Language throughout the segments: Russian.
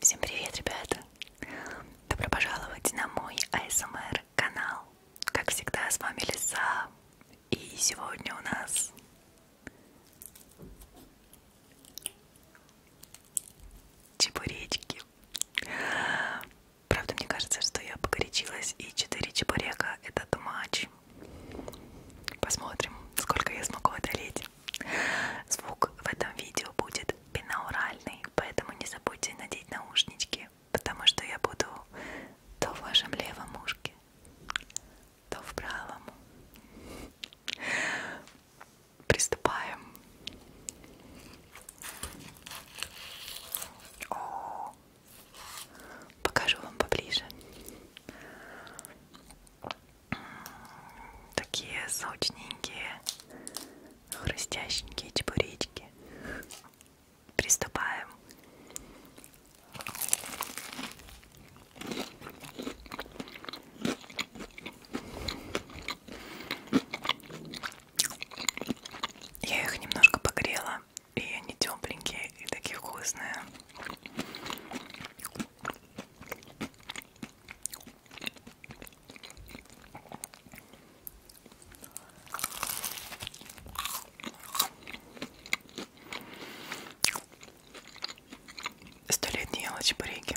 Всем привет, ребята! Добро пожаловать на мой АСМР канал. Как всегда, с вами Лиса. И сегодня у нас чебуречки. Правда, мне кажется, что я погорячилась, и 4 чебурека это тумач. Посмотрим, сколько я смогу одолеть. Звук в этом видео будет пенауральный, поэтому не забудьте надеть наушнички, потому что я буду то в вашем левом ушке, то в правом. Приступаем. О, покажу вам поближе такие сочненькие, хрустященькие чебуречки. Приступаем. Я их немножко погрела, и они тепленькие и такие вкусные. Сто лет не ела чебуреки.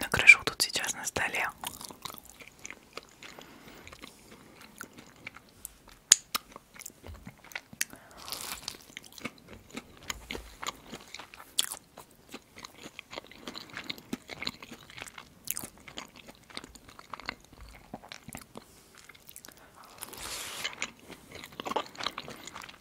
накрышу тут сейчас на столе.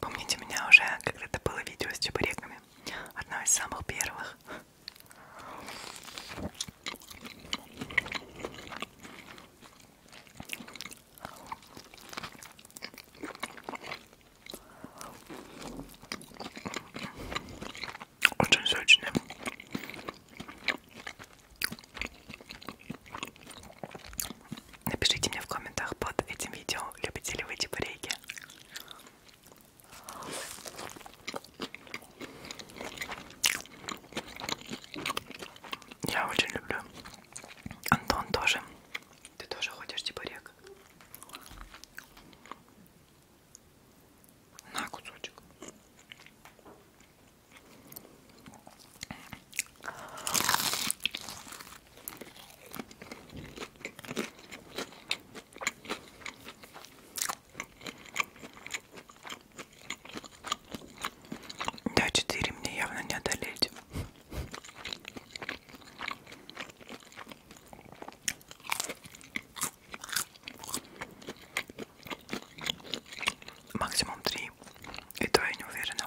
Помните, у меня уже когда-то было видео с чебуреками. Одно из самых первых. Очень сочный. Напишите мне в комментах под этим видео, любите ли вы чебуреки. Я очень люблю. Антон тоже. Ты тоже ходишь типа рек? На кусочек. Да, 4 мне явно не одолеть. Максимум 3. И то я не уверена.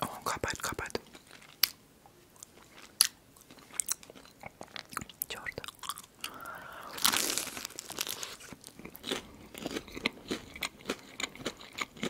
О, капает, капает. Черт.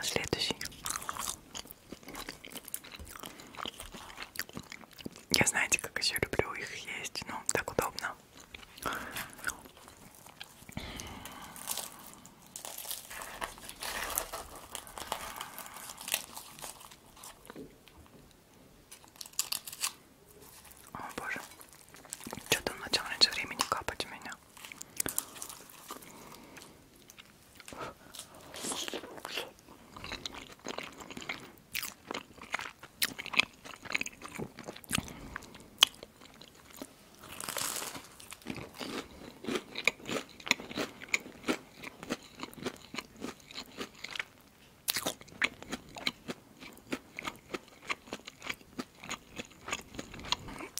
Следующий. Я знаете, как еще люблю их есть, ну так удобно. О боже, что-то он начал раньше времени капать у меня.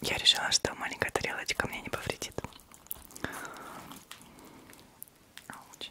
Я решила, что маленькая тарелочка мне не повредит. Ауч.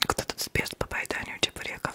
Кто тут спец по поеданию чебуреков?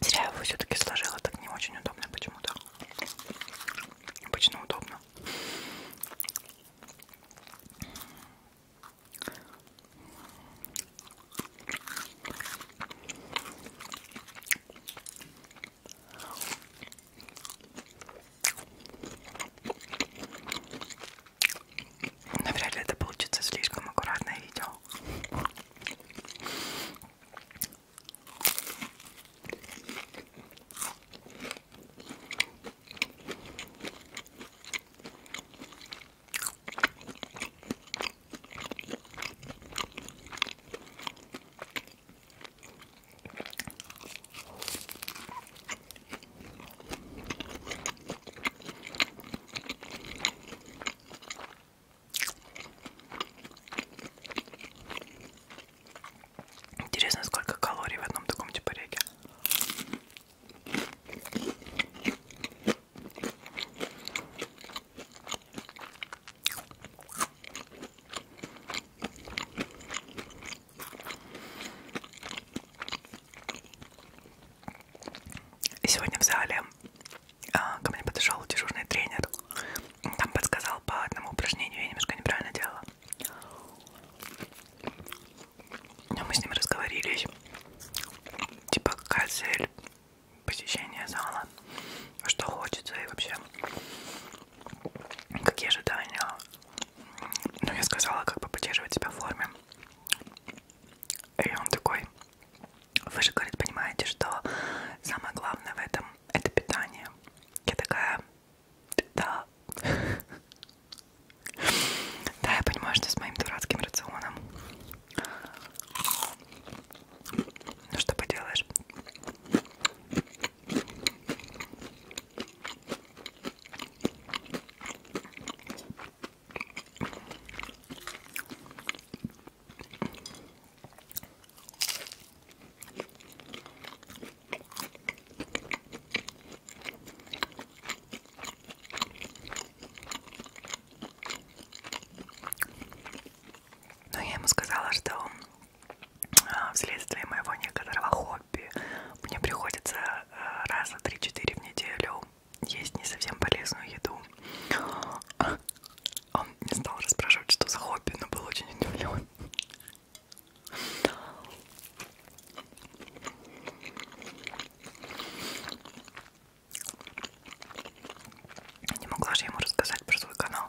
Зря я его все-таки сложила, так не очень удобно почему-то. Обычно удобно навряд ли это получится слишком аккуратное видео. Интересно, сколько калорий в одном таком чебуреке. Типа и сегодня в зале а, ко мне подошел дежурный тренер. Там подсказал по одному упражнению, я немножко неправильно делала. Но а мы с ним разговорились. Типа, какая цель посещения зала, что хочется и вообще какие ожидания ну, я сказала, как бы поддерживать себя в форме. И он такой, вы же, говорит, понимаете, что самое главное в этом это питание. Я такая, да. Да, я понимаю, что с моим дурацким рационом. Ну что поделаешь? Но ну, я ему сказала, что а, вследствие моего некоторого хобби мне приходится раз на 3-4 в неделю есть не совсем полезную еду. А, он не стал расспрашивать, что за хобби, но был очень удивлен. Не могла же ему рассказать про свой канал.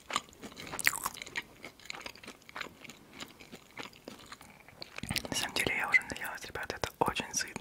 На самом деле я уже наелась, ребята, это очень сытно.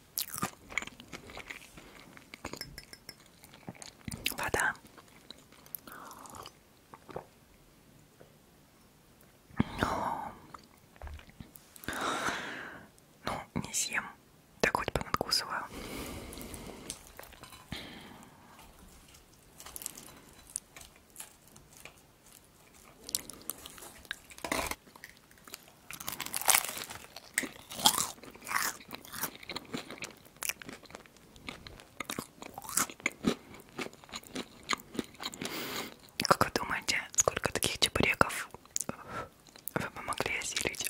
Вода. Но... Ну, ну, не съем. Так хоть понадкусываю. Как вы думаете, сколько таких чебуреков вы бы могли осилить?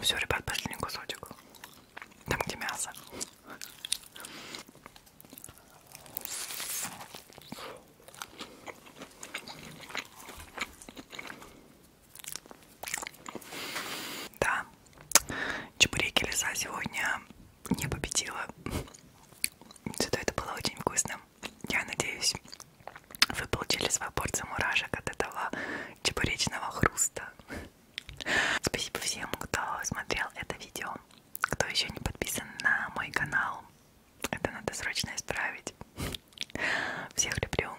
Все, ребят, последний кусочек. Там где мясо. Да, чебуреки леса сегодня не победила. Зато это было очень вкусно. Я надеюсь, вы получили свой порцию мурашек от этого чебуречного хруста. Спасибо всем, кто смотрел это видео. Кто еще не подписан на мой канал, это надо срочно исправить. Всех люблю.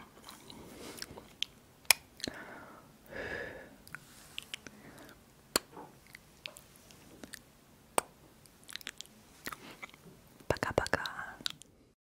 Пока-пока.